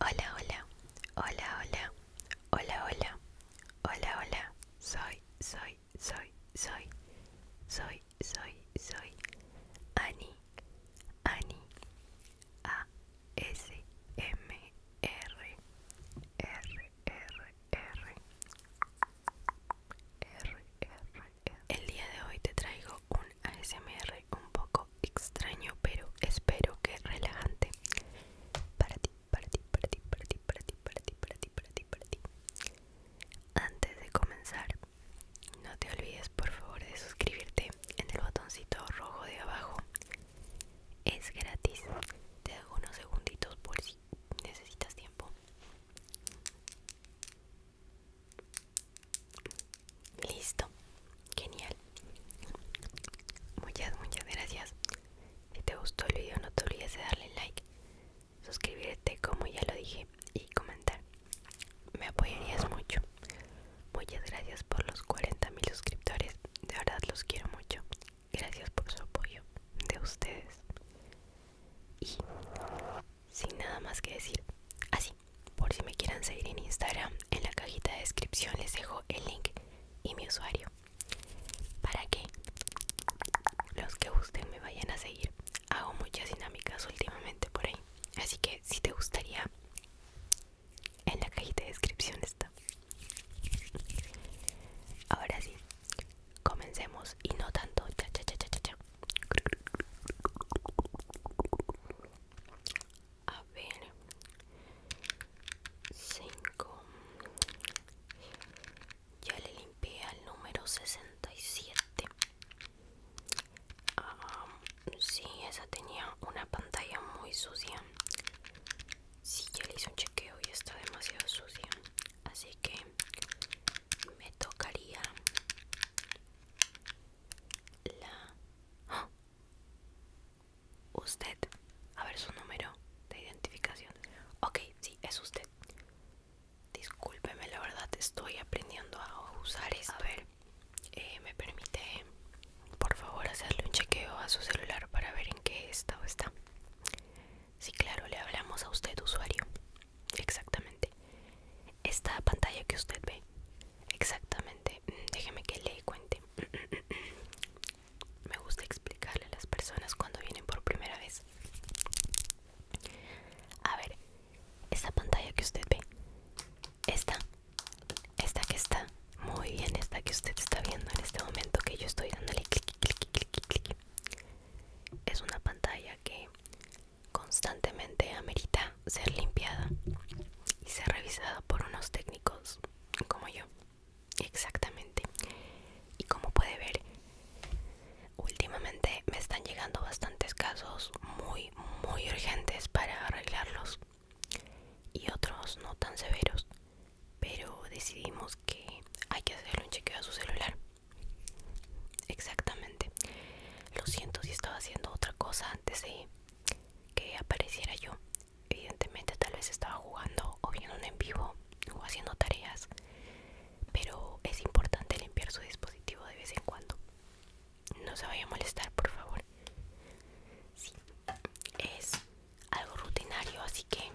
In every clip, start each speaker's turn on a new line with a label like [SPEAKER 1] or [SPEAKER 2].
[SPEAKER 1] Hola, hola, hola, hola, hola, hola, hola, hola, soy, soy, soy, soy, soy, soy, soy, Ani, Ani, A, S, M, R, R, R, R, R, R, R. El día de hoy te traigo un ASMR un poco extraño, pero espero que relajante para ti, para ti, para ti, para ti, para ti, para ti, para ti, para ti, para ti. Antes de comenzar, no te olvides por favor de suscribirte en el botoncito rojo de abajo. Es gratis. Te hago unos segunditos por si necesitas tiempo. Listo, genial. Muchas, muchas gracias. Si te gustó el video no te olvides de darle like, suscribirte como ya lo dije y comentar. Me apoyarías mucho. Muchas gracias por los 40.000 suscriptores. De verdad los quiero mucho. Gracias por su apoyo de ustedes. Y sin nada más que decir. Así, por si me quieran seguir en Instagram, en la cajita de descripción les dejo el link y mi usuario. Para que los que gusten me vayan a seguir. Hago muchas dinámicas últimamente por ahí. Así que si te gustaría, en la cajita de descripción está. Ahora sí, comencemos y no tanto. Cha, cha, a ver 5 ya le limpié al número 67 si sí, esa tenía una pantalla muy sucia si sí, ya le hice un chequeo y está demasiado sucia así que me tocaría la... Usted. A ver su número de identificación. Ok, sí, es usted. Discúlpeme, la verdad estoy aprendiendo a usar esto. A ver, eh, ¿me permite, por favor, hacerle un chequeo a su celular para ver en qué estado está? Sí, claro, le hablamos a usted, usuario. Exactamente. Esta pantalla que usted ve Exactamente, mm, déjeme que le cuente. Me gusta explicarle a las personas cuando vienen por primera vez. A ver, esta pantalla que usted ve, esta, esta que está muy bien, esta que usted está viendo en este momento que yo estoy dándole clic, clic, clic, clic, clic. Es una pantalla que constantemente amerita ser limpiada y ser revisada por unos técnicos como yo. Exactamente. Y como puede ver, últimamente me están llegando bastantes casos muy, muy urgentes para arreglarlos y otros no tan severos, pero decidimos que hay que hacerle un chequeo a su celular Exactamente. Lo siento si estaba haciendo otra cosa antes de que apareciera yo. Evidentemente tal vez estaba jugando o viendo en vivo o haciendo tareas. Pero es importante limpiar su dispositivo de vez en cuando. No se vaya a molestar, por favor. Sí. Es algo rutinario, así que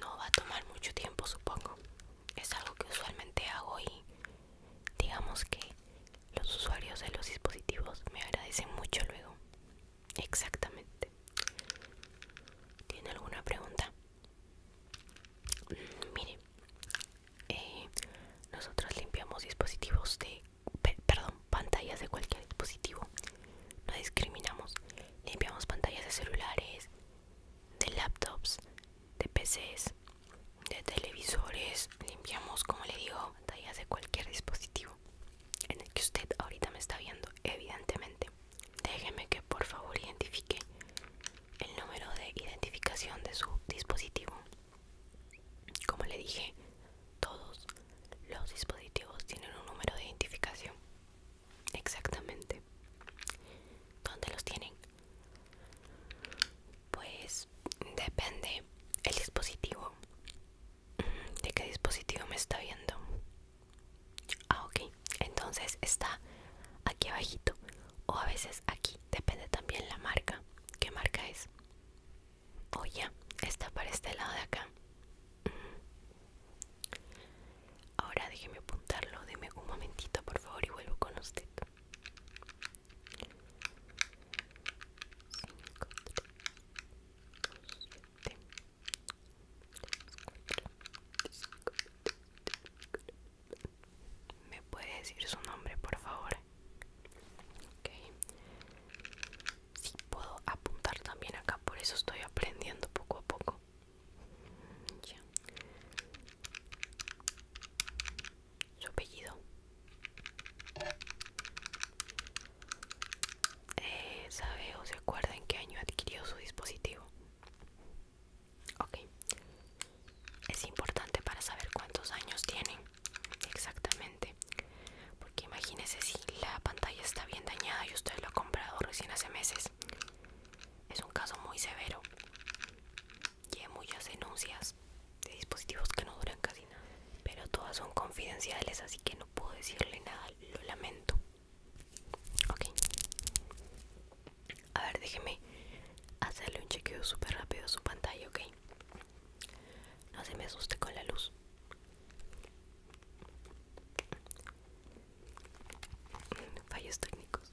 [SPEAKER 1] no va a tomar mucho tiempo, supongo. Es algo que usualmente hago y digamos que los usuarios de los dispositivos me agradecen mucho luego exactamente tiene alguna pregunta mm, mire eh, nosotros limpiamos dispositivos de perdón pantallas de cualquier dispositivo no discriminamos limpiamos pantallas de celulares de laptops de pcs de televisores, limpiamos, como le digo, pantallas de cualquier dispositivo en el que usted ahorita me está viendo, evidentemente. Déjeme que por favor identifique el número de identificación de su dispositivo. Como le dije, todos los dispositivos tienen un número de identificación. Exactamente. ¿Dónde los tienen? Pues depende el dispositivo. Mm, ¿De qué dispositivo me está viendo? Ah, ok. Entonces está aquí abajito o a veces aquí. Depende también la marca. ¿Qué marca es? O oh, ya, está para este lado de acá. Mm. Ahora déjeme apuntarlo, deme un momentito por favor y vuelvo con usted. ¿Me puede decir su nombre por favor? Ok. Sí, puedo apuntar también acá, por eso estoy aprendiendo poco a poco. Su apellido eh, ¿Sabe o se acuerda en qué año adquirió su dispositivo? Ok. Es importante para saber cuántos años tiene exactamente. Porque imagínese si la pantalla está bien dañada y usted lo ha comprado recién hace meses. Es un caso muy severo y hay muchas denuncias de dispositivos que no duran casi nada, pero todas son confidenciales, así que no puedo decirle nada, lo lamento. Ok, a ver, déjeme hacerle un chequeo súper rápido a su pantalla, ok. No se me asuste con la luz. Fallos técnicos.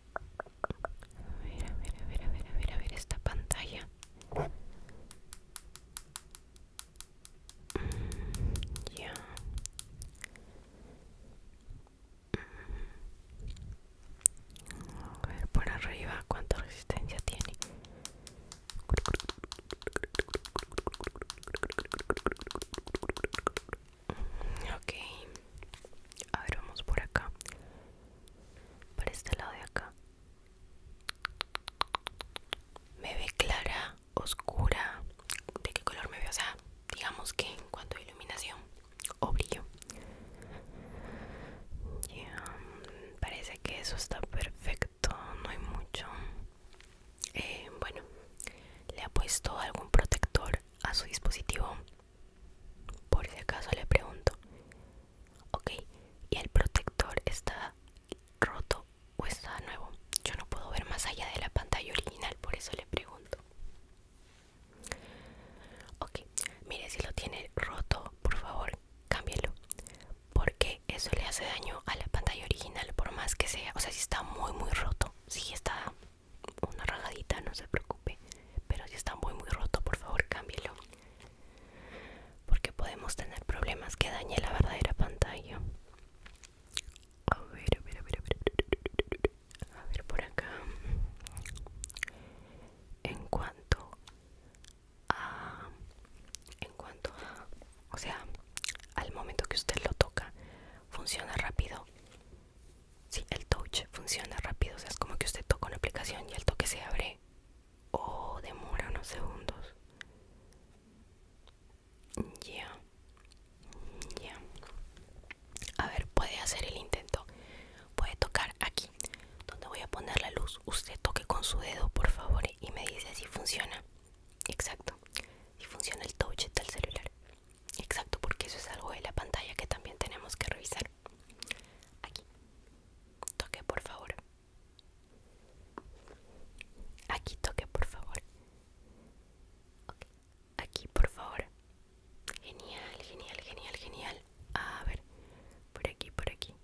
[SPEAKER 1] A ver, a ver, a ver, a ver, a ver, esta pantalla. Mm, ya. A ver, por arriba, ¿cuánta resistencia tiene? Ok. A ver, vamos por acá. Por este lado de acá. Me ve clara, oscura. ¿De qué color me ve? O sea, digamos que en cuanto a iluminación o brillo. Parece que eso está perfecto. No hay mucho. Eh, bueno, le ha puesto algún protector a su dispositivo por si acaso le pregunto. Ok, ¿y el protector está roto o está nuevo? Yo no puedo ver más allá de la pantalla original, por eso le pregunto. Ok, mire, si lo tiene roto, por favor, cámbielo. Porque eso le hace daño a la pantalla original, por más que sea. O sea, si está muy, muy roto, si está una rajadita, no se preocupe pero si está muy muy roto por favor cámbielo porque podemos tener problemas que dañe la verdadera pantalla a ver a ver a ver a ver a ver por acá en cuanto a en cuanto a o sea al momento que usted lo toca funciona rápido si el touch funciona rápido, o sea, es como que usted toca una aplicación y el toque se abre o demora unos segundos. Ya, A ver, puede hacer el intento. Puede tocar aquí, donde voy a poner la luz. Usted toque con su dedo, por favor, y me dice si funciona. Exacto, si funciona el touch del celular. Exacto, porque eso es algo de la pantalla que también tenemos que revisar. Aquí. Toque, por favor. Aquí toque, por favor. Aquí, por favor. Genial, genial, genial, genial. A ver. Por aquí, por aquí.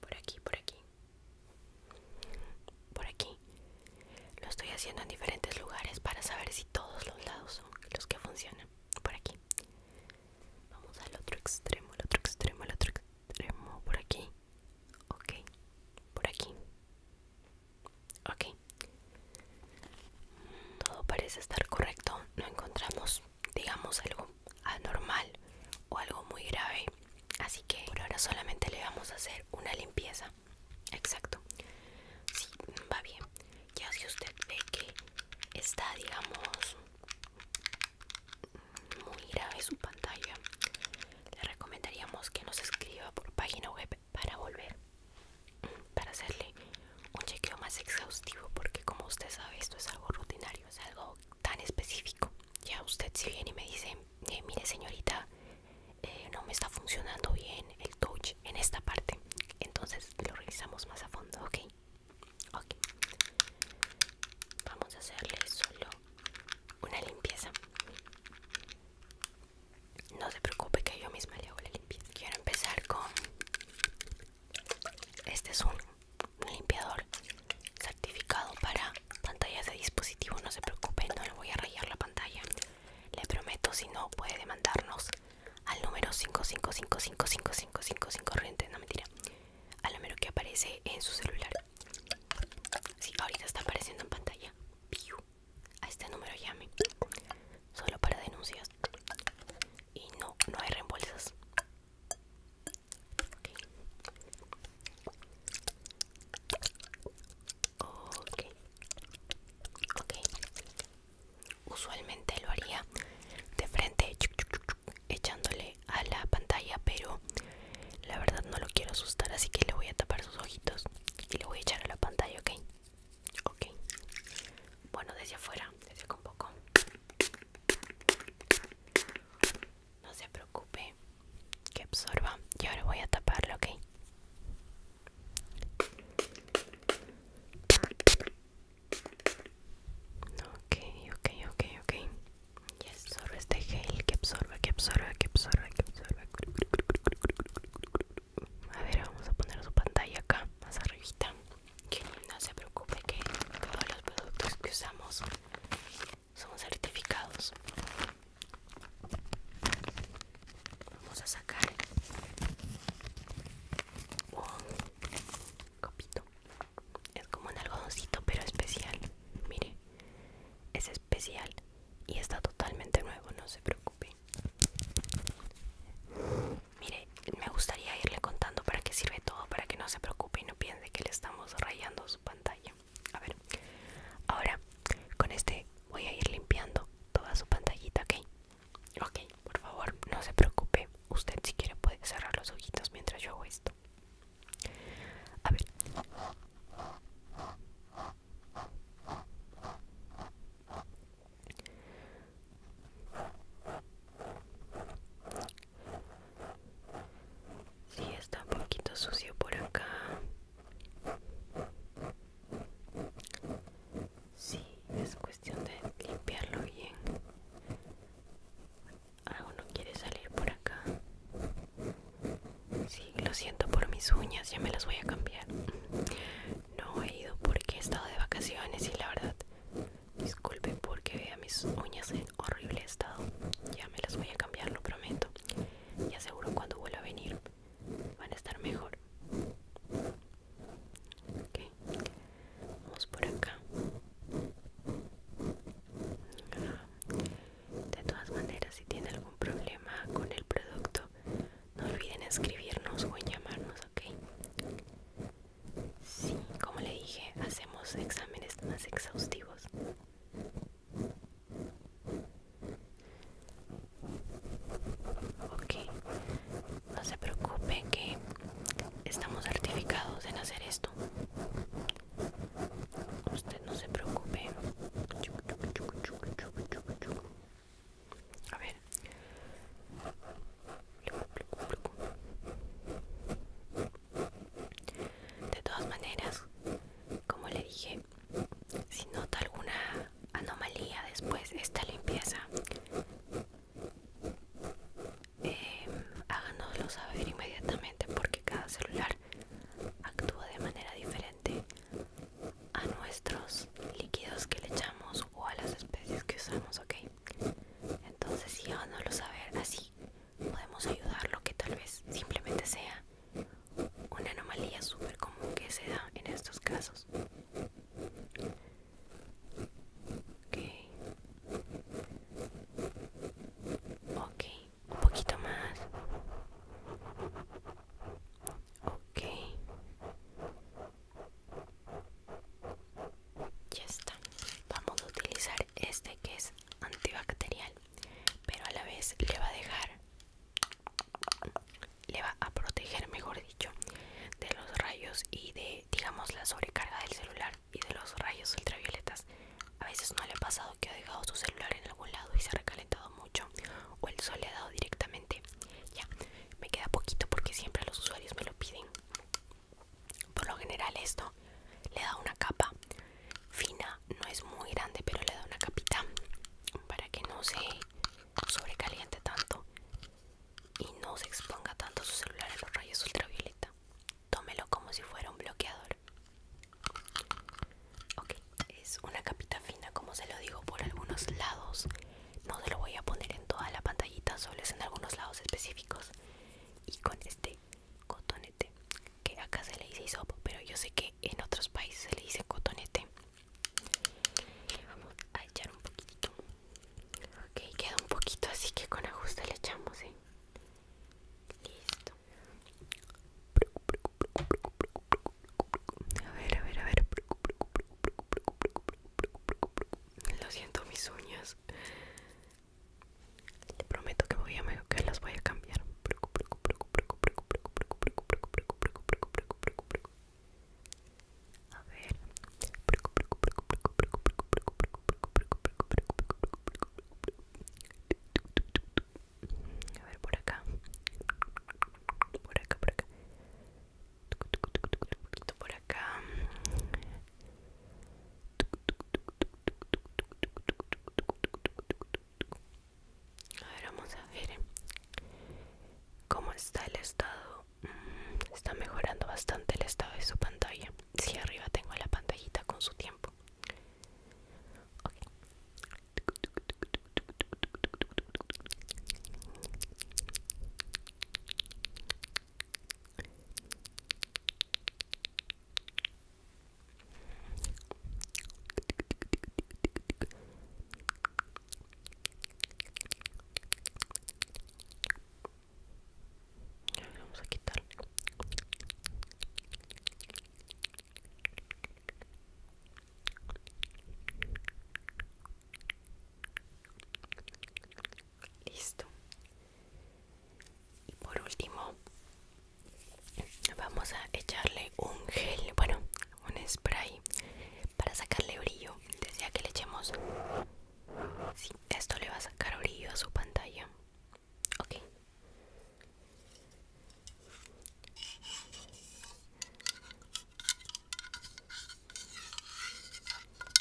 [SPEAKER 1] Por aquí, por aquí. Por aquí. Lo estoy haciendo en diferentes lugares para saber si todos los lados los que funcionan por aquí vamos al otro extremo al otro extremo al otro extremo por aquí ok por aquí ok todo parece estar correcto no encontramos digamos algo anormal o algo muy grave así que por ahora solamente le vamos a hacer una limpieza exacto sí va bien ya si usted ve que está digamos muy grave su pantalla le recomendaríamos que nos escriba por página web para volver para hacerle un chequeo más exhaustivo porque como usted sabe esto es algo rutinario es algo tan específico ya usted si viene y me dice eh, mire señorita eh, no me está funcionando bien el touch en esta parte entonces lo revisamos más a fondo ok vamos a hacerle solo una limpieza no se preocupe que yo misma le hago la limpieza quiero empezar con este es un limpiador certificado para pantallas de dispositivo no se preocupe no le voy a rayar la pantalla le prometo si no puede demandarnos al número 555555555 corriente, no mentira, al número que aparece en su celular. Sí, ahorita está apareciendo en pantalla. A este número llame. Solo para denuncias. Y no, no hay reembolsos. Ok, ok. Usualmente lo haría de frente, echándole a la pantalla, pero la verdad no lo quiero asustar, así que le voy a tapar sus ojitos y le voy a echar a la pantalla, ok. Ok. Bueno, desde afuera, desde con poco. No se preocupe, que absorba. Y ahora voy a taparlo, ok. Ok, ok, ok, ok. Y absorbe este gel que absorbe, que absorbe, que absorbe, que absorbe. A ver, vamos a poner su pantalla acá, más arribita. Que no se preocupe que todos los productos que usamos son certificados. Vamos a sacar un copito. Es como un algodoncito, pero especial. Mire, es especial y está totalmente nuevo, no se preocupe. Mire, me gustaría irle contando para qué sirve todo, para que no se preocupe y no piense que le estamos rayando su pantalla. A ver, ahora con este voy a ir limpiando toda su pantallita, ¿ok? Ok, por favor, no se preocupe. Usted si quiere puede cerrar los ojitos mientras yo hago esto. A ver. Sí, está un poquito sucio por acá. Sí, es cuestión de limpiarlo bien. Algo no quiere salir por acá. Sí, lo siento por mis uñas, ya me las voy a cambiar. No he ido porque he estado de vacaciones y la verdad, disculpe porque vea mis uñas en horrible estado. Ya me las voy a cambiar, lo prometo. Y aseguro cuando vuelva a venir van a estar mejor okay. vamos por acá de todas maneras si tiene algún problema con el producto no olviden escribirnos o en llamarnos ok sí como le dije hacemos exámenes más exhaustivos Ok, no se preocupe que estamos certificados en hacer esto. Usted no se preocupe. A ver. De todas maneras, como le dije, si nota alguna anomalía después de esta limpieza, em, háganoslo saber inmediatamente porque cada celular actúa de manera diferente a nuestros líquidos que le echamos o a las especies que usamos, ¿ok? Entonces sí, háganoslo saber así podemos ayudarlo que tal vez simplemente sea una anomalía súper común que se da en estos casos. Okay. ok, un poquito más. Ok, ya está. Vamos a utilizar este que es antibacterial, pero a la vez le va a dejar le va a proteger mejor dicho de los rayos y de digamos la sobrecarga del celular y de los rayos ultravioletas a veces no le ha pasado que ha dejado su celular en algún lado y se ha recalentado mucho o el sol le ha dado directamente ya me queda poquito porque siempre los usuarios me lo piden por lo general esto le da una capa fina, no es muy grande, pero le da una capita para que no se sobrecaliente tanto y no se exponga tanto su celular a los rayos ultravioleta. Tómelo como si fuera un bloqueador. Ok, es una capita fina, como se lo digo, por algunos lados. No se lo voy a poner en toda la pantallita, solo es en algunos lados específicos. Y con este cotonete que acá se le dice hisopo pero yo sé que en otros países se le dice cotonete vamos a echar un poquito ok queda un poquito así que con ajuste le echamos ¿eh? listo a ver a ver a ver lo siento mis uñas te prometo que voy a que las voy a cambiar. A ver. por acá. Por acá, por acá. por acá. A ver, vamos a ver eh. cómo está el estado. Mm, está mejorando bastante el estado de su pantalla. Si arriba tengo la pantallita con su tiempo. Ok Vamos a quitarle. Listo y por último vamos a echarle un gel bueno un spray para sacarle brillo decía que le echemos sí, esto le va a sacar brillo a su pantalla ok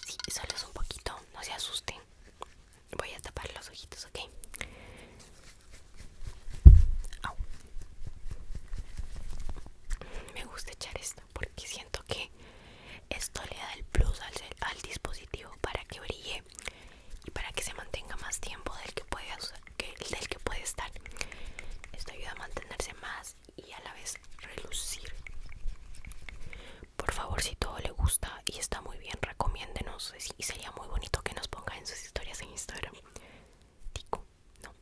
[SPEAKER 1] Sí, solo es un poquito, no se asusten Voy a tapar los ojitos, ¿ok? Me gusta echar esto porque siento que esto le da el plus al, dispositivo para que brille y para que se mantenga más tiempo del que puede, del que puede estar. Esto ayuda a mantenerse más y a la vez relucir. Por favor, si todo le gusta y está muy bien, recomiéndenos y sería muy bonito que nos pongan en sus historias en Instagram. Tico, no,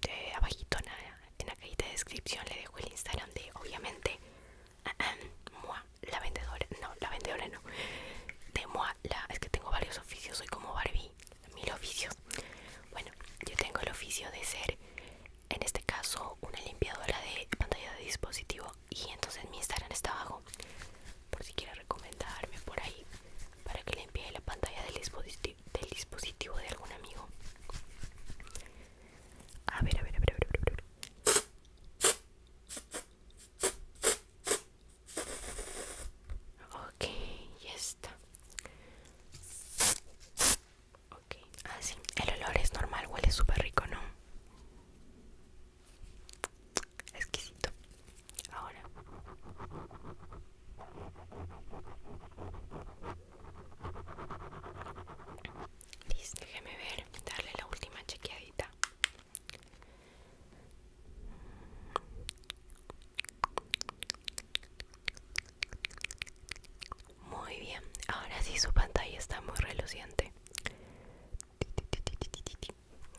[SPEAKER 1] de abajito en la, en la cajita de descripción le dejo el Instagram de obviamente la vendedora, no, la vendedora no, de Moa, la, es que tengo varios oficios, soy como Barbie, mil oficios. Bueno, yo tengo el oficio de ser, en este caso, una limpiadora de pantalla de dispositivo y entonces mi Instagram está abajo por si quiere recomendarme por ahí para que le envíe la pantalla del dispositivo, de algún amigo. A ver, a ver, a ver, a ver. Ok, ya está. Ok, así. Ah, el olor es normal, huele súper rico, ¿no? exquisito ahora listo déjeme ver darle la última chequeadita muy bien ahora sí su pantalla está muy reluciente Sí,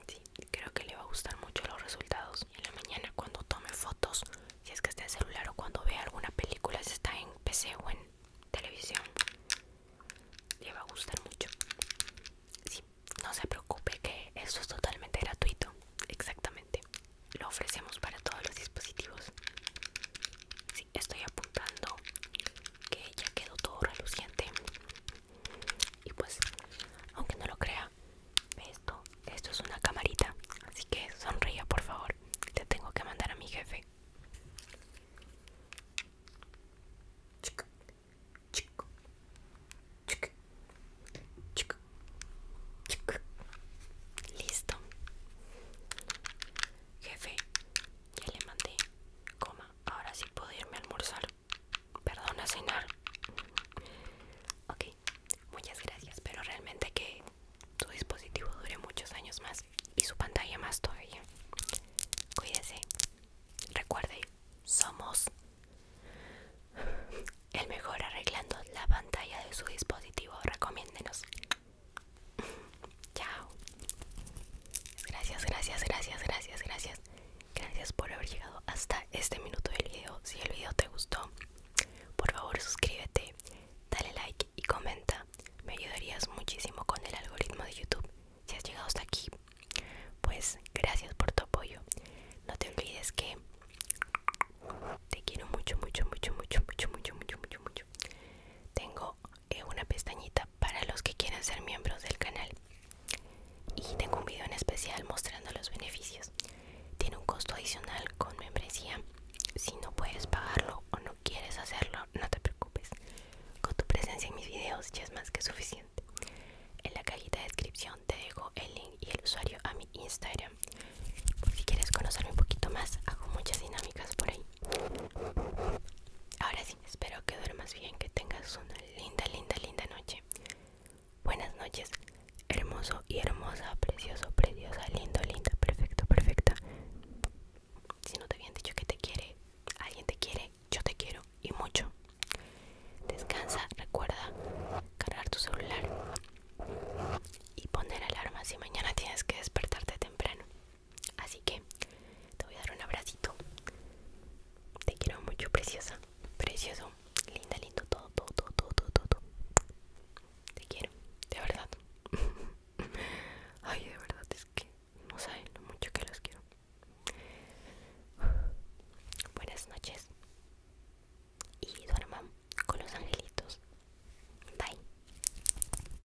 [SPEAKER 1] creo que le va a gustar mucho los resultados. en la mañana cuando tome fotos, si es que está en celular o cuando vea alguna película, si está en PC o en televisión, le va a gustar mucho. Sí, no se preocupe que eso es totalmente gratuito. Exactamente. Lo ofrecemos para todos los dispositivos estoy apuntando que ya quedó todo reluciente y pues aunque no lo crea esto esto es una camarita así que sonría por favor te tengo que mandar a mi jefe listo jefe ya le mandé coma ahora sí puedo irme a almorzar. Perdón, a cenar. Ok, muchas gracias. Pero realmente que su dispositivo dure muchos años más y su pantalla más todavía. Cuídese. Recuerde, somos el mejor arreglando la pantalla de su dispositivo. Recomiéndenos. Chao. Gracias, gracias, gracias, gracias, gracias. Gracias por haber llegado hasta este minuto del video. Si el video te gustó, por favor suscríbete, dale like y comenta. Me ayudarías muchísimo con el algoritmo de YouTube. Si has llegado hasta aquí, pues gracias por tu apoyo. No te olvides que te quiero mucho, mucho, mucho, mucho, mucho, mucho, mucho, mucho, mucho. Tengo una pestañita para los que quieran ser miembros del canal y tengo un video en especial mostrando los beneficios tiene un costo adicional con membresía si no puedes pagarlo o no quieres hacerlo no te preocupes con tu presencia en mis videos ya es más que suficiente en la cajita de descripción te dejo el link y el usuario a mi instagram si quieres conocerme un poquito más hago muchas dinámicas por ahí ahora sí Espero que duermas bien, que tengas una linda, linda, linda noche. Buenas noches, hermoso y hermosa, precioso, preciosa, lindo, linda, perfecto, perfecta. Si no te habían dicho que te quiere, alguien te quiere, yo te quiero y mucho. Descansa, recuerda cargar tu celular y poner alarma si mañana tienes que despertarte temprano. Así que te voy a dar un abracito. Te quiero mucho, preciosa. Precioso. Linda, lindo. Todo, todo, todo, todo, todo. Te quiero. De verdad. Ay, de verdad es que no saben lo mucho que los quiero. Buenas noches. Y duerman con los angelitos. Bye.